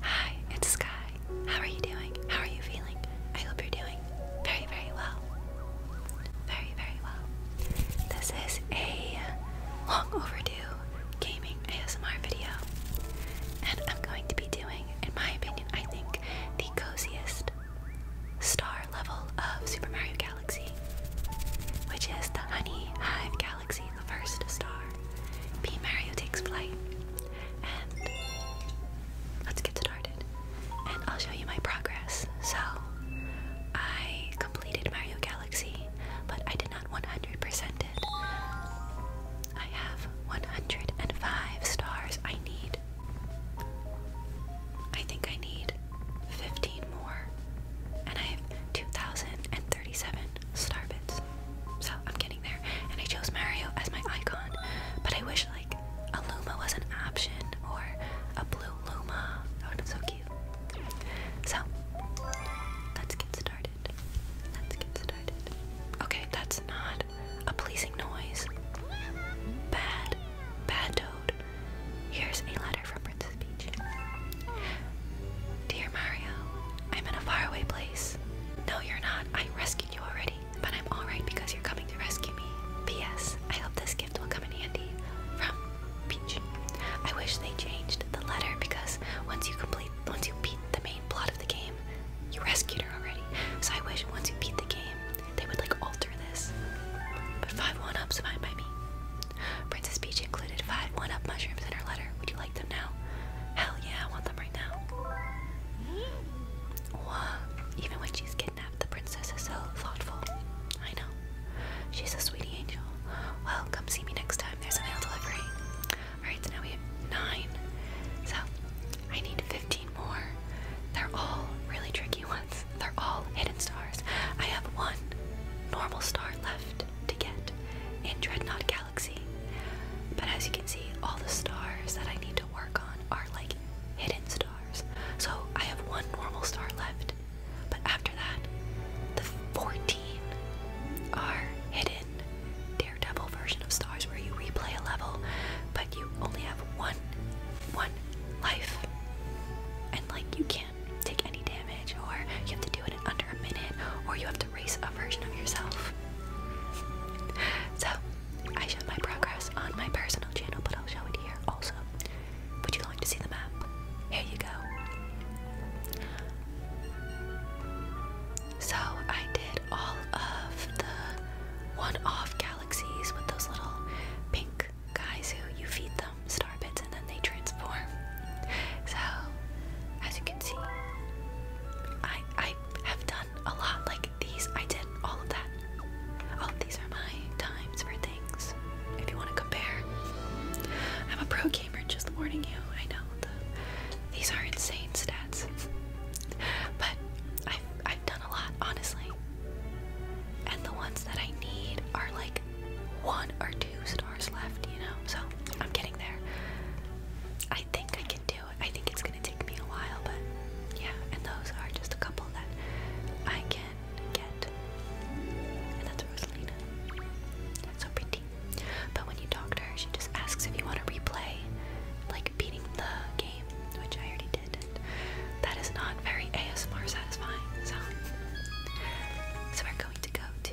Hi, it's Sky. How are you doing? How are you feeling? I hope you're doing very, very well. Very, very well. This is a long overdue gaming ASMR video, and I'm going to be doing, in my opinion, I think, the coziest star level of Super Mario Galaxy, which is the Honey Hive Galaxy galaxy, the first star. P. Mario takes flight. And let's get started. And I'll show you my progress. So, I completed Mario Galaxy, but I did not 100% it. I have 105 stars. I need. I think I need 15 more. And I have 2,030 37 starbits. So I'm getting there. And I chose Mario as my icon. But I wish like a Luma was an option or a blue Luma. That would be so cute. So let's get started. Let's get started. Okay, that's not a pleasing noise. Bad, bad toad. Here's a Dear Mario, I'm in a faraway place. No, you're not. I rescued you already, but I'm alright because you're coming to rescue me. P.S. I hope this gift will come in handy. From Peach. I wish they changed the letter because once you complete, once you beat the main plot of the game, you rescued her already. So I wish once you beat the game, they would like alter this. But 5 1 ups fine by me. Princess Peach included five one-up mushrooms in her letter. Would you like them now? Hell yeah, I want them right now. Even when she's kidnapped, the princess is so thoughtful. I know. She's a sweetie angel. Well, come see me next time. There's a mail delivery. Alright, so now we have nine. So, I need 15 more. They're all really tricky ones. They're all hidden stars. I have one normal star left to get in Dreadnought Galaxy. But as you can see, all the stars that I need to work on are like hidden stars. So I have one normal star left, but after that, the 14 are hidden Daredevil version of stars where you replay a level, but you only have one one life. And like you can't take any damage, or you have to do it in under a minute, or you have to race a version of yourself. So, I showed my progress on my personal channel, but I'll show it here also. Would you like to see the map? Here you go. So, I did all of the one off galaxies with those little pink guys who you feed them star bits and then they transform. So, as you can see, I I have done a lot like these. I did all of that. All of these are my times for things. If you want to compare, I'm a pro gamer. Just warning you. I know the, these are insane stats, but I've I've done a lot honestly. And the ones that I need are like one or two stars left, you know, so I'm getting there. I think I can do it. I think it's gonna take me a while, but yeah, and those are just a couple that I can get. And that's Rosalina. so pretty. But when you talk to her, she just asks if you want to replay, like beating the game, which I already did. And that is not very ASMR satisfying, so so we're going to go to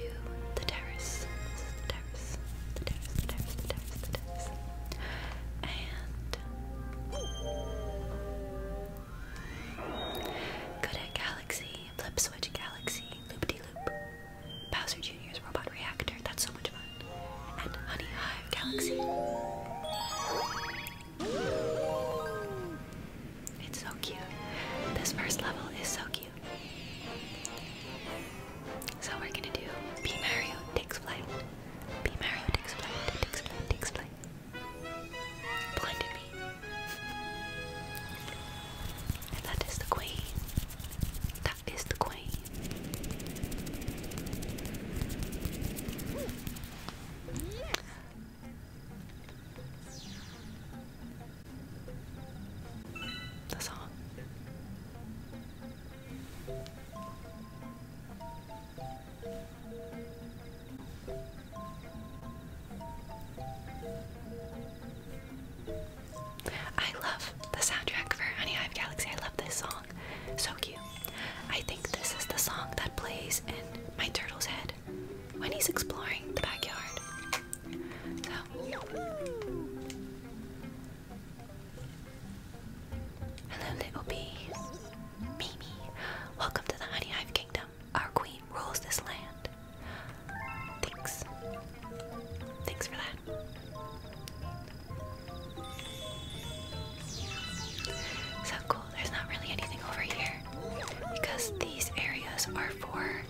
the terrace. This is the terrace. The terrace, the terrace, the terrace, the terrace. And Kodak Galaxy, Flip Switch Galaxy, Loop De Loop, Bowser Jr.'s Robot Reactor. That's so much fun. And Honey Hive Galaxy. It's so cute. This first level is so cute. So we're gonna do B Mario takes flight. B Mario takes flight, takes flight, takes flight. Blinded me. And that is the queen. That is the queen. That's all. I love the soundtrack for Honey Hive Galaxy. I love this song. So cute. I think this is the song that plays in My Turtle's Head when he's exploring the backyard. Hello, little bee. Mimi, welcome to the Honey Kingdom. Our queen rules this land. Thanks. Thanks for that. So cool there's not really anything over here because these areas are for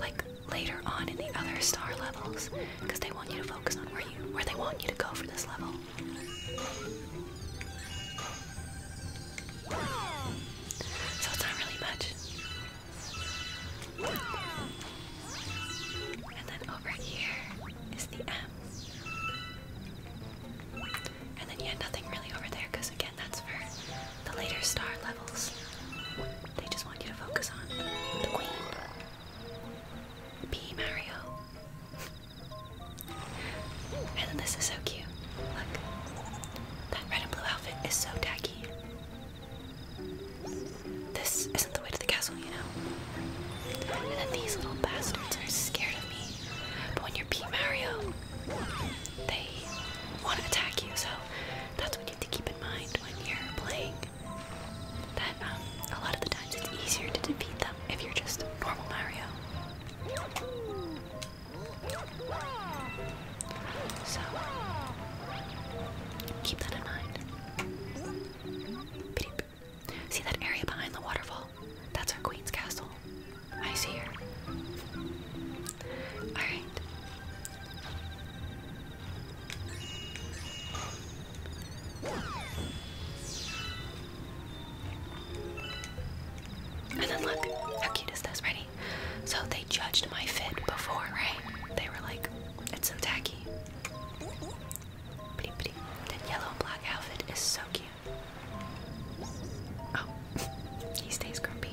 like later on in the other star levels because they want you to focus on where you where they want you to go for this level. So it's not really much. And then over here is the M. And then, you had nothing really over there because, again, that's for the later star levels. They just want you to focus on the queen. P. Mario. and then this is so cute. Look. That red and blue outfit is so tacky. This isn't the way to the castle, you know? And then these little bastards are scared of me. But when you're P Mario, they want to attack you, so that's what you need to keep in mind when you're playing. That um, a lot of the times it's easier to defeat them if you're just normal Mario. So keep that in mind. See that area behind the waterfall? That's our queen's castle. I see her. Alright. And then look, how cute is this? Ready? So they judged my fit before, right? They were like, it's some tacky. Pretty, pretty. That yellow and black outfit is so cute. Oh, he stays grumpy.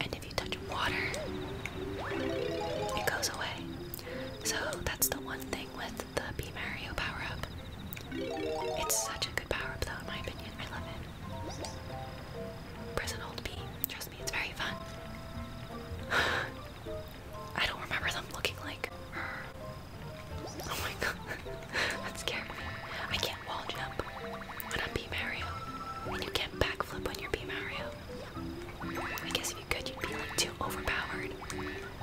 And if you touch water, it goes away. So that's the one thing with the Be Mario power up. It's such a good power up, though, in my opinion. I love it. Prison Old hold B. Trust me, it's very fun. I don't remember them looking like. Oh my god, that's scary. I can't wall jump when I'm B Mario. And you can't backflip when you're B Mario. I guess if you could, you'd be like too overpowered.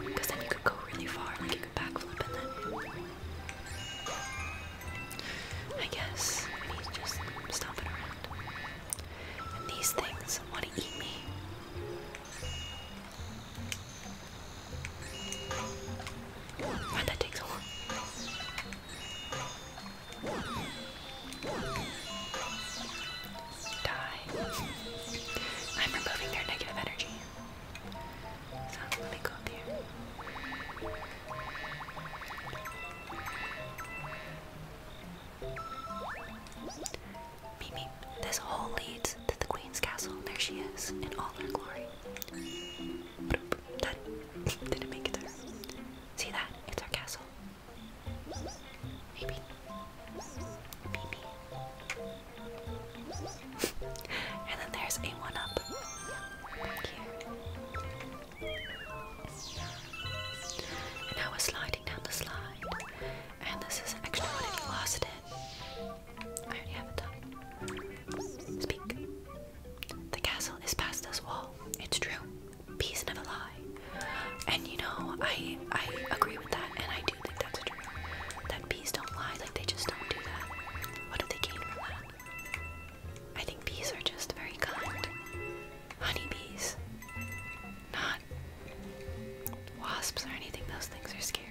Because then you could go really far, like you could backflip and then. I guess he's just stomping around. And these things want to eat me. Why'd that takes a long? Die. I'm removing their negative energy. So let me go up here. This hole leads to the queen's castle. There she is, in all her glory. didn't make it there. See that? It's our castle. Maybe. Maybe. and then there's a one-up And now we sliding down the slide. And this is extra What if you lost it. I already have it done. Speak. The castle is past us all. It's true. Bees never lie. And you know, I I agree with that, and I do think that's true. That bees don't lie, like they just don't do that. What do they gain from that? I think bees are just very kind. Honey bees, Not wasps or anything, those things are scary.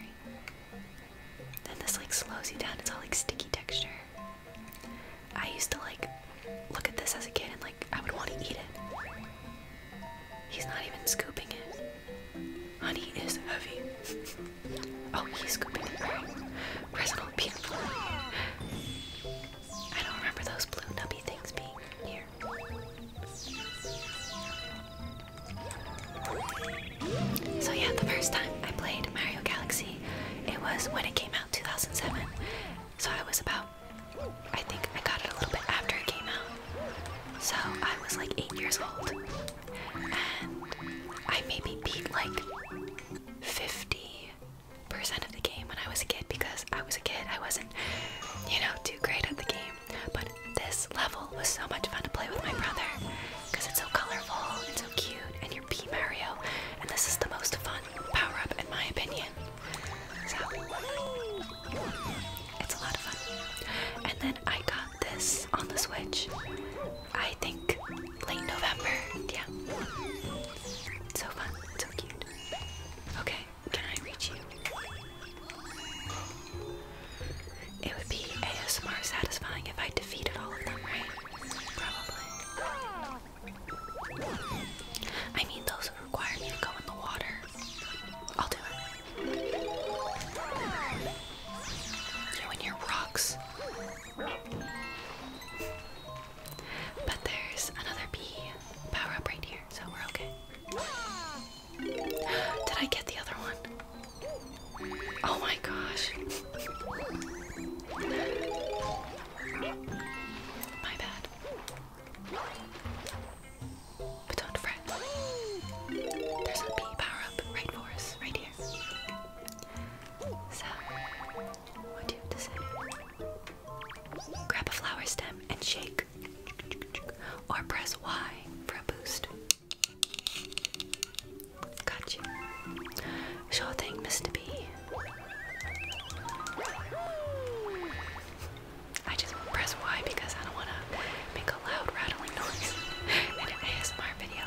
Then this like slows you down. It's all like sticky texture. I used to like look at this as a kid and like I would want to eat it. He's not even scooping it. Honey is heavy. oh, he's scooping it. Right. Resident beautiful. I don't remember those blue nubby things being here. So yeah, the first time I played Mario Galaxy, it was when it came out 2007. So I was about, I think I got it a little bit after it came out. So I was like eight years old, and I maybe beat like 50 percent of the game when I was a kid because I was a kid. I wasn't, you know, too great at the game. But this level was so much fun to play with my brother because it's so colorful and so cute, and you're P Mario, and this is the most fun power up in my opinion. So it's a lot of fun. And then I got this on the Switch. I think late November. Yeah. so fun. It's so cute. Okay, can I reach you? It would be ASMR satisfying if I defeated all of them, right? Probably. I mean, those who require me to go in the water. I'll do it. You and your rocks. But there's another bee power up right here, so we're okay. Did I get the other one? Oh my gosh. My bad. But do There's a bee power up right for us, right here. So, what do you have to say? Grab a flower stem and shake or press Y for a boost. Got you. Sure thing, Mr. B. I just press Y because I don't want to make a loud rattling noise in an ASMR video.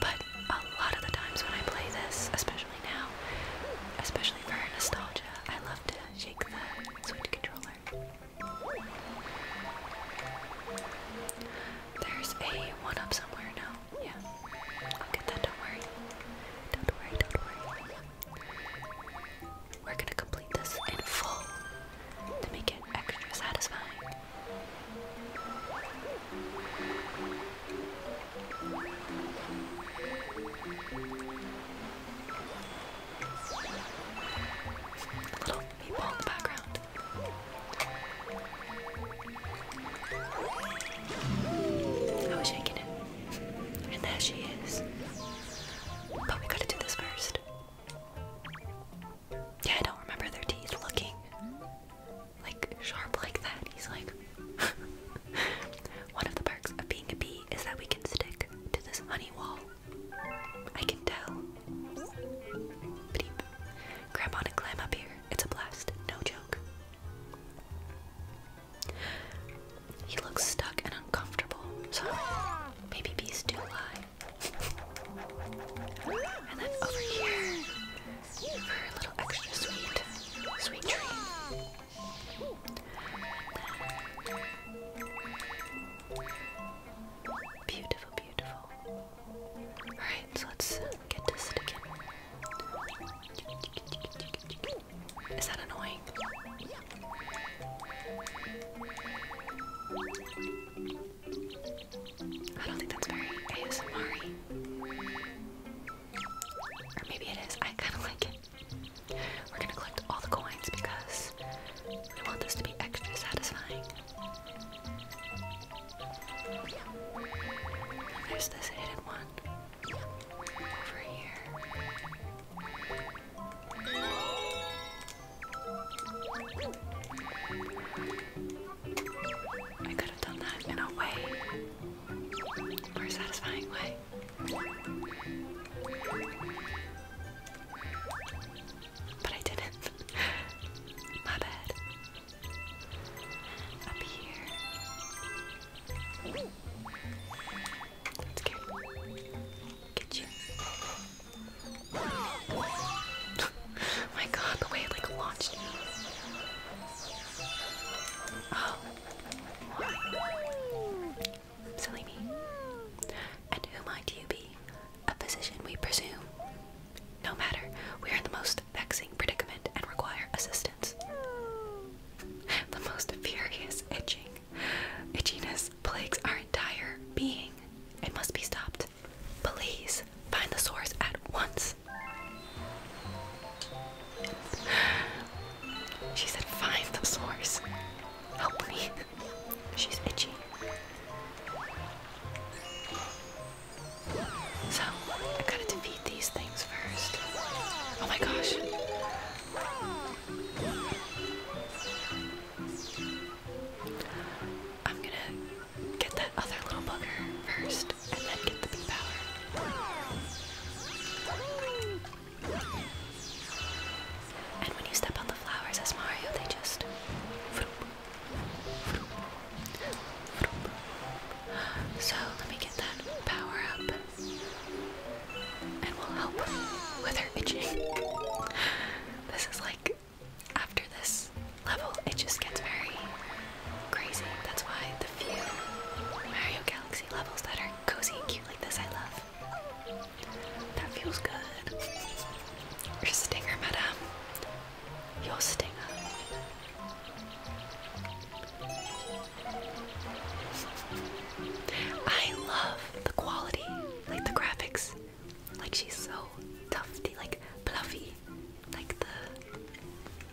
But a lot of the times when I play this, especially now, especially for nostalgia, I love to shake the Switch controller. There's a one up somewhere now. Yeah. I'll get that, don't worry. Don't worry, don't worry. We're gonna complete this in full to make it extra satisfying. A little the background. I was shaking it. And there she is. But we gotta do this first. Yeah, I don't remember their teeth looking like sharp like that. He's like, one of the perks of being a bee is that we can stick to this honey wall. I can tell. Bleep. on and climb up here. It's a blast. No joke. He looks stuck and uncomfortable, so maybe B's too And then over here for a little extra sweet, sweet treat. Beautiful, beautiful. Alright, so let's uh, get this again. Is that annoying? I don't think that's very ASMR Or maybe it is. I kind of like it. We're gonna collect all the coins because we want this to be extra satisfying. There's this hidden one over here. I could have done that in a way more satisfying way. But I didn't. My bad. Up here. That's good. Get you. my god, the way it like launched Oh. Silly me. And who might you be? A physician, we presume. No matter, we are in the most vexing predicament and require assistance. The most furious itching, itchiness plagues our entire being. It must be stopped. Please find the source at once. She said, find the source. Help me. She's itchy. So, I gotta defeat these things first. Oh my gosh. I'm gonna get that other little bugger first and then get the bee power. And when you step on the flowers as Mario, they just. So let me get that power up. And we'll help with her itching. This is like. After this level, it just gets very crazy. That's why the few Mario Galaxy levels that are cozy and cute like this I love. That feels good. Your stinger, madam. Your stinger. I love the quality, like the graphics. Like she's so tufty, like fluffy. Like the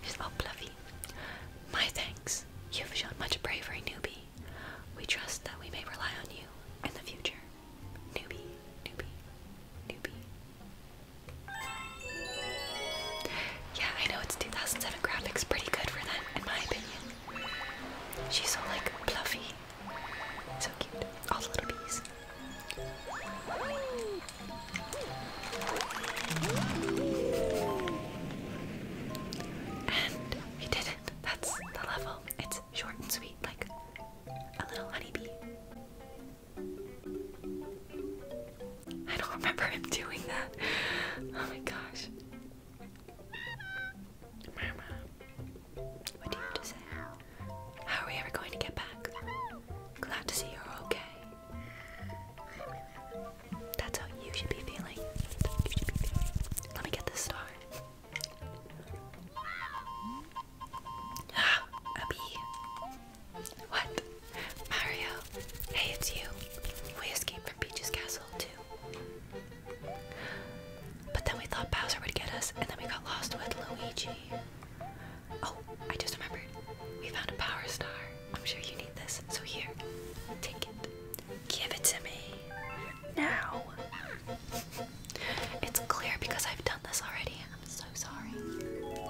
she's all fluffy. My thanks. You've shown much bravery, newbie we trust that we may rely on you in the future. Newbie, newbie, newbie. Yeah, I know it's 2007 graphics, pretty good for them, in my opinion. She's so like fluffy, so cute. All the little bees. And he didn't. That's the level. It's short and sweet, like a little honeybee. I don't remember him doing that. Oh my gosh. Mama. What do you have to say? How are we ever going to get back? Glad to see you're okay. That's how you should be feeling. Let me get this star. Ah, a bee. What? Mario. Hey, it's you. We escaped from Peach's castle too. But then we thought Bowser would get us, and then we got lost with Luigi. Oh, I just remembered. We found a power star. I'm sure you need this. So here, take it. Give it to me. Now. It's clear because I've done this already. I'm so sorry.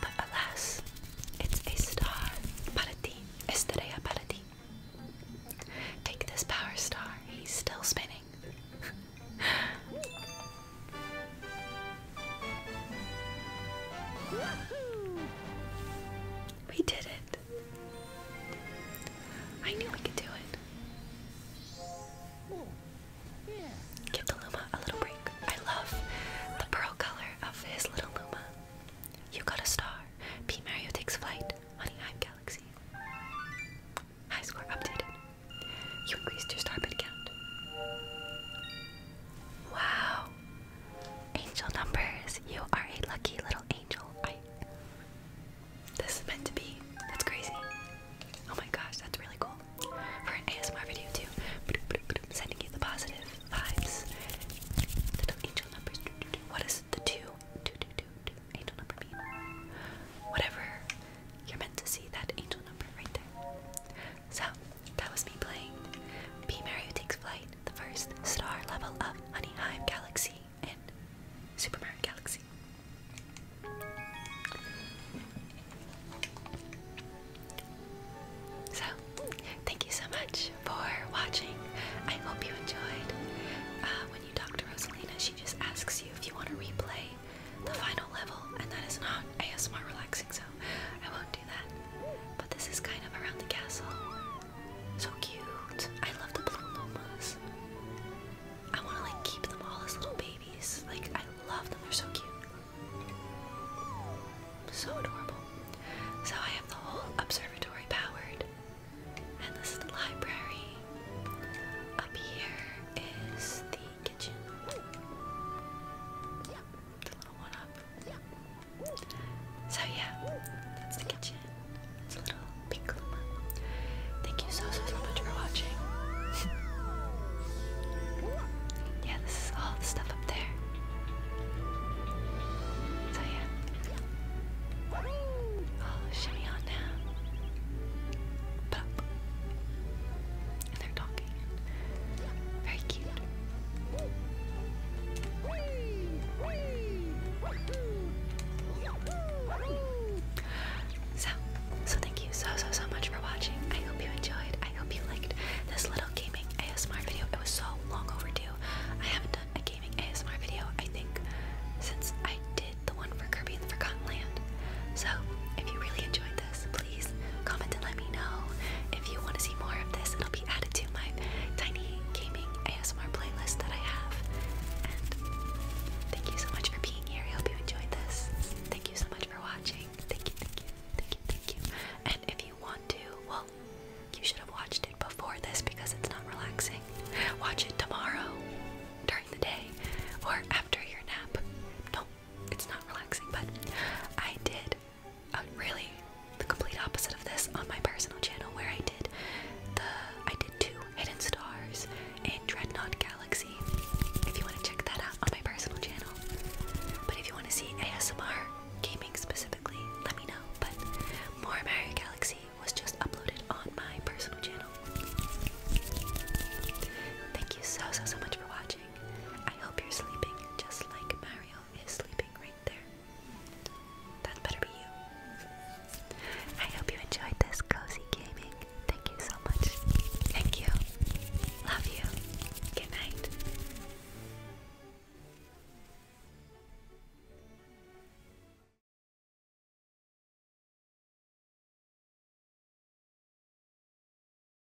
But alas, it's a star. Para ti. Estrella para Take this power star. He's still spinning. We did it. I knew we could do it. Give the Luma a little break. I love the pearl color of his little Luma. You got a star. P. Mario takes flight. Honeyhive Galaxy. High score updated. You increased your star count. Wow. Angel numbers. You are a lucky little angel. I This is meant to be. That's crazy. Oh my gosh, that's really cool. For an ASMR video too. Sending you the positive vibes. Little angel numbers. What is the two? Two angel number mean? Whatever you're meant to see that angel number right there. So, that was me playing Be Mario Takes Flight, the first star level of Honey Hive Galaxy in Super Mario Galaxy. So, thank you so much for watching. I hope you enjoyed. Uh, when you talk to Rosalina, she just asks you if you want to replay the final level, and that is not ASMR relaxing, so I won't do that. But this is kind of around the castle. So cute. I love the blue plumas. I want to like keep them all as little babies. Like I love them. They're so cute. So adorable. So I have the whole observatory powered. And this is the library. Up here is the kitchen. So yeah, that's the kitchen. It's a little pink Thank you so so much for watching. yeah, this is all the stuff up there. So yeah. Oh, shimmy on now they're talking. very cute. So, so thank you so so so much for watching. I hope you enjoyed. I hope you liked this little gaming ASMR video. It was so long overdue. I haven't done a gaming ASMR video, I think, since I did the one for Kirby and the Forgotten Land. So, if you really enjoyed this, please comment and let me know if you want to see more of this. It'll be added to my tiny gaming ASMR playlist that I have. And thank you so much for being here. I hope you enjoyed this. Thank you so much for watching. Thank you, thank you, thank you, thank you. And if you want to, well, you should have watched it before this because it's not relaxing. Watch it tomorrow, during the day, or after your nap. No, it's not relaxing, but I did uh, really the complete opposite of this on my personal channel where I did the I did two hidden stars and Dreadnought Galaxy. If you want to check that out on my personal channel. But if you want to see ASMR gaming specifically, let me know. But more Mario Galaxy was just uploaded on my personal channel. Thank you so so so much for watching. I hope you're sleeping just like Mario is sleeping right there. That better be you. I hope you enjoyed this cozy gaming. Thank you so much. Thank you. Love you. Good night.